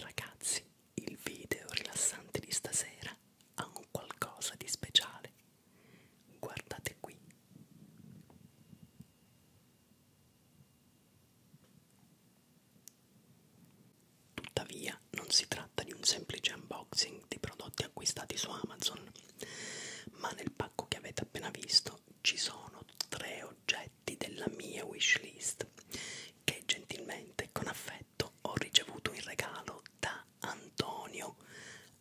Ragazzi, il video rilassante di stasera ha un qualcosa di speciale. Guardate qui. Tuttavia, non si tratta di un semplice unboxing di prodotti acquistati su Amazon, ma nel pacco che avete appena visto ci sono tre oggetti della mia wishlist che gentilmente e con affetto ho ricevuto in regalo da Antonio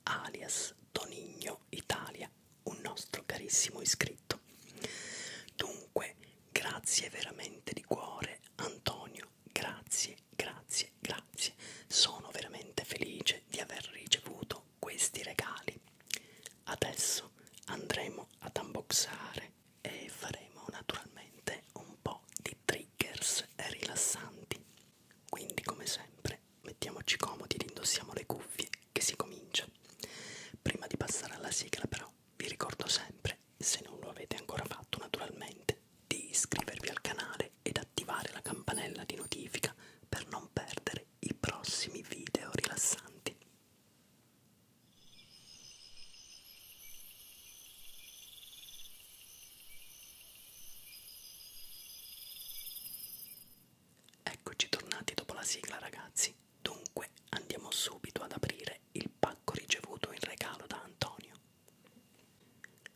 alias Tonigno Italia, un nostro carissimo iscritto. Dunque, grazie veramente di cuore Antonio, grazie, grazie, grazie. Sono veramente felice di aver ricevuto questi regali. Adesso andremo ad unboxare e faremo naturalmente un po' di triggers rilassanti. Quindi come sempre mettiamoci comodi ed indossiamo le cuffie che si comincia. Prima di passare alla sigla però vi ricordo sempre, se non lo avete ancora fatto naturalmente, di iscrivervi al canale ed attivare la campanella di notifica per non perdere i prossimi video rilassanti. Eccoci tornati dopo la sigla ragazzi, dunque andiamo subito ad aprire il pacco ricevuto in regalo da Antonio.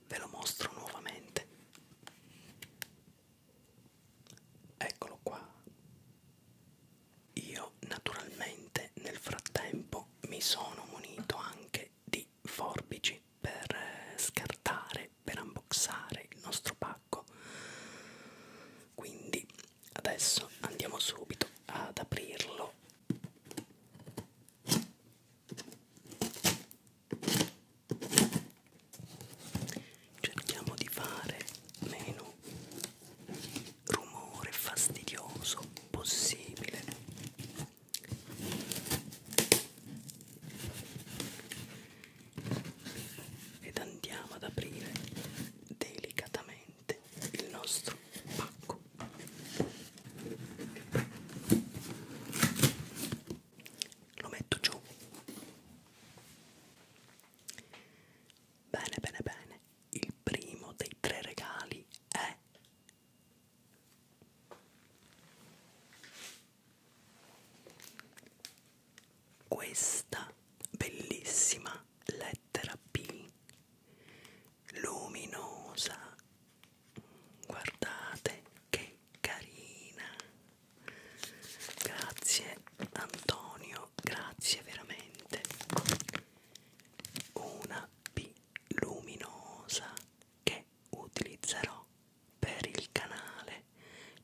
Ve lo mostro nuovamente. Eccolo qua. Io naturalmente nel frattempo mi sono munito anche di forbici per eh, scartare, per unboxare il nostro pacco. Quindi adesso andiamo subito ad aprirlo cerchiamo di fare meno rumore fastidioso possibile ed andiamo ad aprire delicatamente il nostro pacco lo metto giù Bene, bene, bene. Il primo dei tre regali è questa bellissima lettera B luminosa guardate che carina Grazie Antonio, grazie veramente. Una B luminosa che utilizzerò per il canale.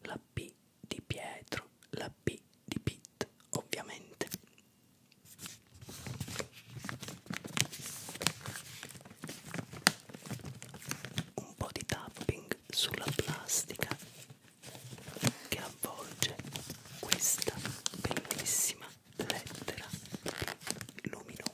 La P di Pietro, la P di Pit, ovviamente. Un po' di tapping sulla plastica che avvolge questa bellissima lettera luminosa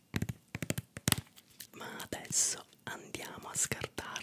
ma adesso andiamo a scartarla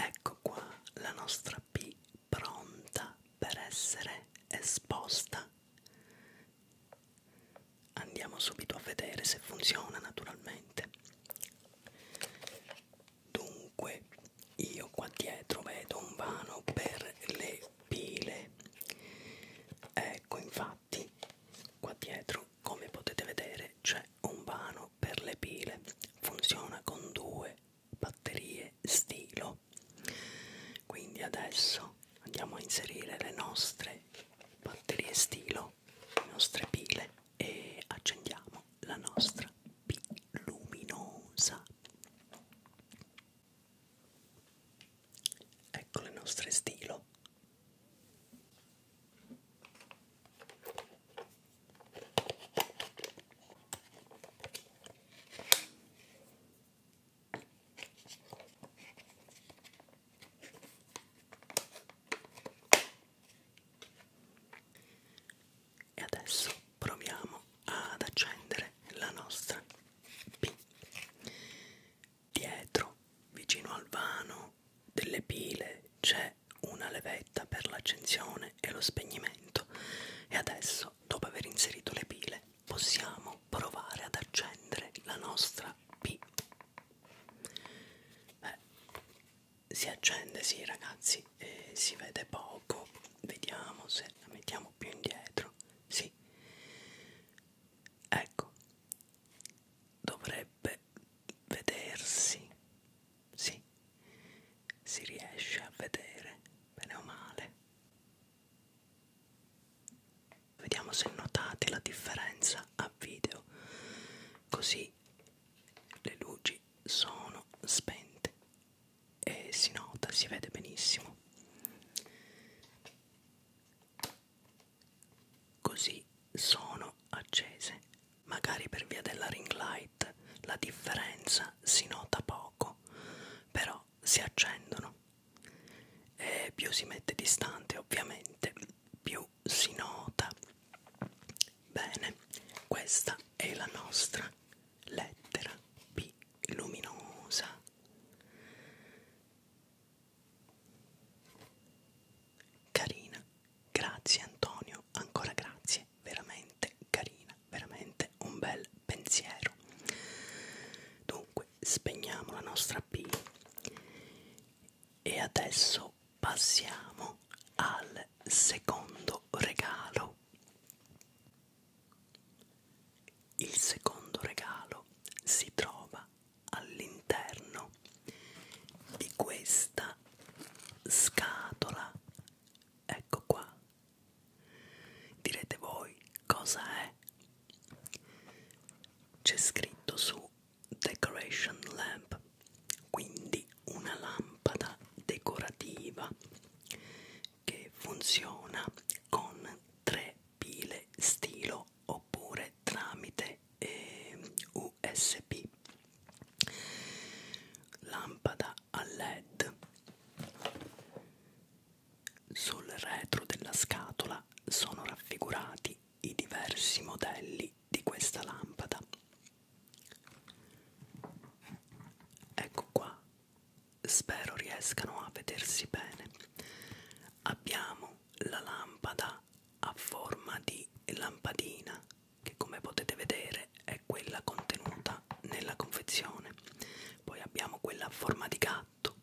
Ecco qua la nostra P pronta per essere esposta. Andiamo subito a vedere se funziona naturalmente dunque io qua dietro vedo un vano per le pile ecco infatti qua dietro come potete vedere c'è un vano per le pile funziona con due batterie stilo quindi adesso andiamo a inserire le nostre batterie stilo prendiamo le nostre pile e accendiamo la nostra P luminosa. Ecco le nostre stilo. E adesso proviamo ad accendere la nostra P. Dietro, vicino al vano delle pile, c'è una levetta per l'accensione e lo spegnimento. E adesso, dopo aver inserito le pile, possiamo provare ad accendere la nostra P. Beh, si accende sì ragazzi eh, si vede poco vediamo se la mettiamo più indietro sì ecco dovrebbe vedersi sì si riesce a vedere bene o male vediamo se notate la differenza a video così qui le luci sono spente e si nota, si vede benissimo. Così sono accese, magari per via della ring light la differenza si nota poco, però si accendono e più si mette distante ovviamente più si nota bene questa è la nostra lettera P luminosa carina grazie Antonio ancora grazie veramente carina veramente un bel pensiero dunque spegniamo la nostra P e adesso passiamo al secondo regalo. Il secondo regalo si trova all'interno di questa scatola. Ecco qua. Direte voi cosa è? C'è scritto su decoration lamp quindi una lampada decorativa che funziona con tre pile stilo oppure tramite eh, usb lampada a led sul retro della scatola sono raffigurati i diversi modelli di questa lampada. Ecco qua, spero riescano a vedersi bene. Abbiamo la lampada a forma di lampadina che come potete vedere è quella contenuta nella confezione. Poi abbiamo quella a forma di gatto,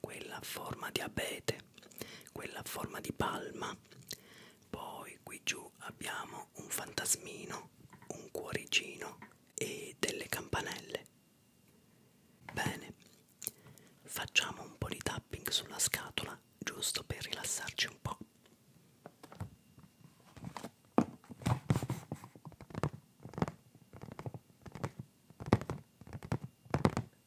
quella a forma di abete, quella a forma di palma. Poi qui giù abbiamo un fantasmino, un cuoricino e delle campanelle. Bene, facciamo un po' di tapping sulla scatola giusto per rilassarci un po'.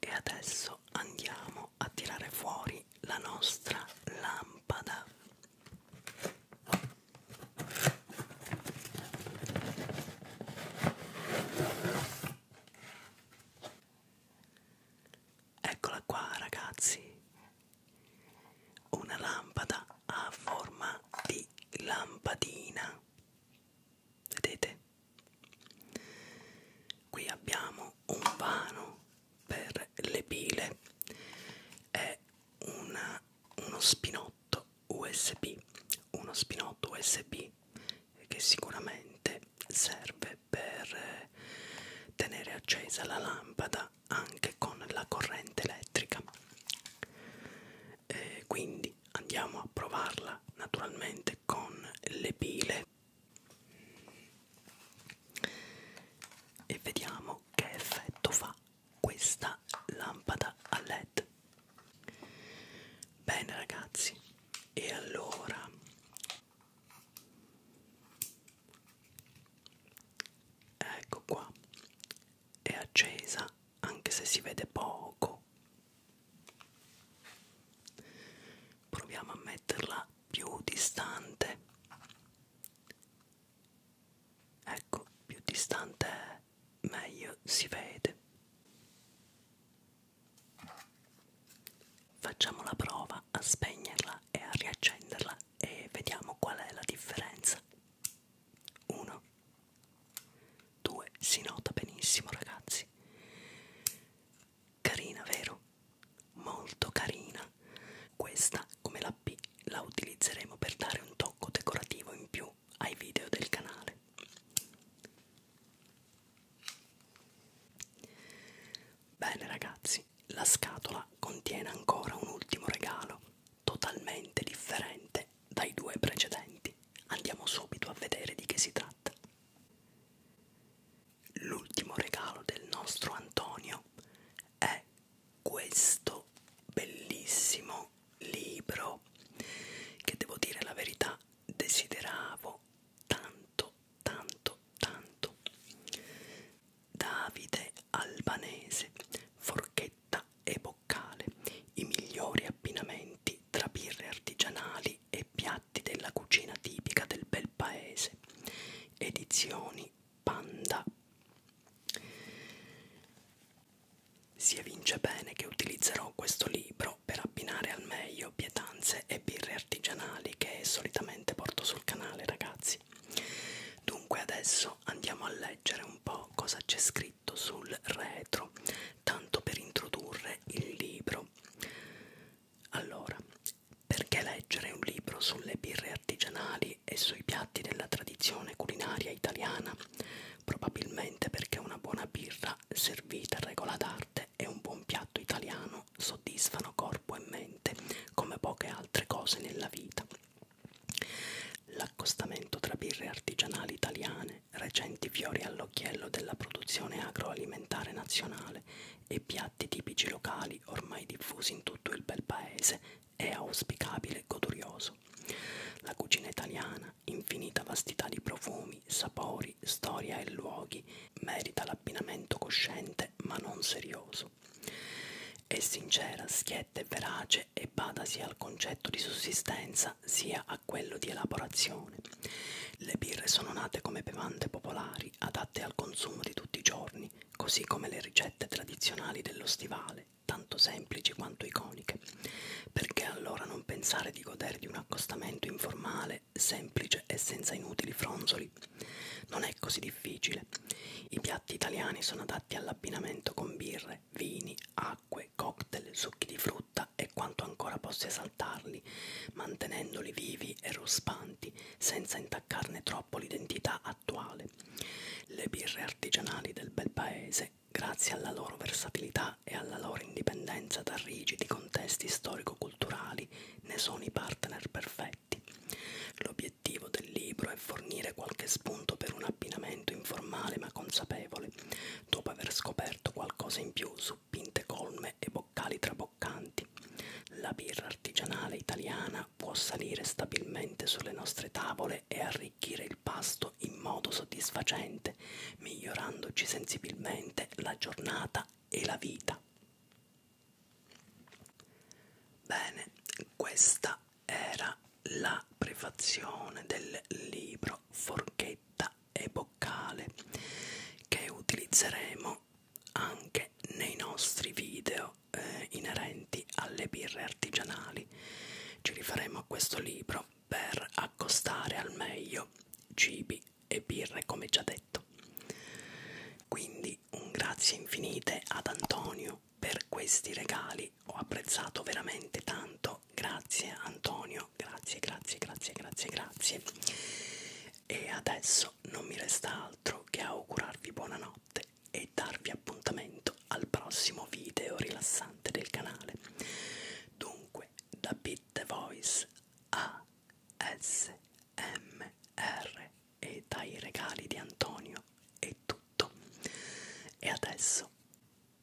E adesso andiamo a tirare fuori la nostra lampada. Eccola qua ragazzi, una lampada a forma di lampadina, vedete? Qui abbiamo un vano per le pile e una, uno spinotto USB, uno spinotto USB che sicuramente serve per tenere accesa la lampada anche con la corrente elettrica. E quindi andiamo a provarla naturalmente con le pile e vediamo che effetto fa questa lampada a led bene ragazzi e allora ecco qua è accesa anche se si vede poco Proviamo a metterla più distante. Ecco, più distante è, meglio si vede. Facciamo la prova a spegnerla e a riaccenderla e vediamo qual è la differenza. 1 2 si nota benissimo, ragazzi. Carina, vero? Molto carina. Questa, come la P, la utilizzeremo per dare un tocco decorativo in più ai video del canale. Bene ragazzi, la scatola contiene ancora un ultimo regalo, totalmente differente dai due precedenti. Andiamo subito a vedere di che si tratta. L'ultimo regalo del nostro Antonio è questo bellissimo libro che devo dire la verità desideravo tanto tanto tanto Davide Albanese forchetta e boccale i migliori abbinamenti tra birre artigianali e piatti piatti della cucina tipica del bel paese. Edizioni Panda. Si evince bene che utilizzerò questo libro per abbinare al meglio pietanze e birre artigianali che solitamente porto sul canale, ragazzi. Dunque adesso andiamo a leggere un po' cosa c'è scritto foglietto sul retro, tanto per introdurre il libro. Allora, perché leggere un libro sulle birre artigianali e sui piatti della tradizione culinaria italiana? Probabilmente perché una buona birra servita a regola d'arte e un buon piatto italiano soddisfano corpo e mente come poche altre cose nella vita. L'accostamento tra birre artigianali italiane recenti fiori all'occhiello della produzione agroalimentare nazionale e piatti tipici locali ormai diffusi in tutto il bel paese è auspicabile e godurioso. La cucina italiana, infinita vastità di profumi, sapori, storia e luoghi, merita l'abbinamento cosciente ma non serioso. È sincera, schietta e verace e badasi al concetto di sussistenza bevanda sia a quello di elaborazione. Le birre sono nate come bevande popolari adatte al consumo di tutti i giorni, così come le ricette tradizionali dello stivale, tanto semplici quanto iconiche. Perché allora non pensare di godere di un accostamento informale, semplice e senza inutili fronzoli? Non è così difficile. I piatti italiani sono adatti all'abbinamento con birre mangiare, vini, acque, cocktail, succhi di frutta e quanto ancora possa esaltarli, mantenendoli vivi e ruspanti senza intaccarne troppo l'identità attuale. Le birre artigianali del bel paese, grazie alla loro versatilità e alla loro indipendenza da rigidi contesti storico-culturali, ne sono i partner perfetti. L'obiettivo del libro è fornire qualche spunto per un abbinamento informale ma consapevole, dopo aver scoperto qualcosa in più su pinte colme e boccali traboccanti. La birra artigianale italiana può salire stabilmente sulle nostre tavole e arricchire il pasto in modo soddisfacente, migliorandoci sensibilmente la giornata e la vita. Bene, questa era la prefazione del libro Forchetta e Boccale che utilizzeremo anche nei nostri video eh, inerenti alle birre artigianali. Ci rifaremo a questo libro per accostare al meglio cibi e birre come già detto. Quindi un grazie infinite ad Antonio per questi regali quindi ho apprezzato veramente tanto grazie Antonio grazie grazie grazie grazie grazie e adesso non mi resta altro che augurarvi buonanotte e darvi appuntamento al prossimo video rilassante del canale dunque da Pit The Voice a SMR e dai regali di Antonio è tutto e adesso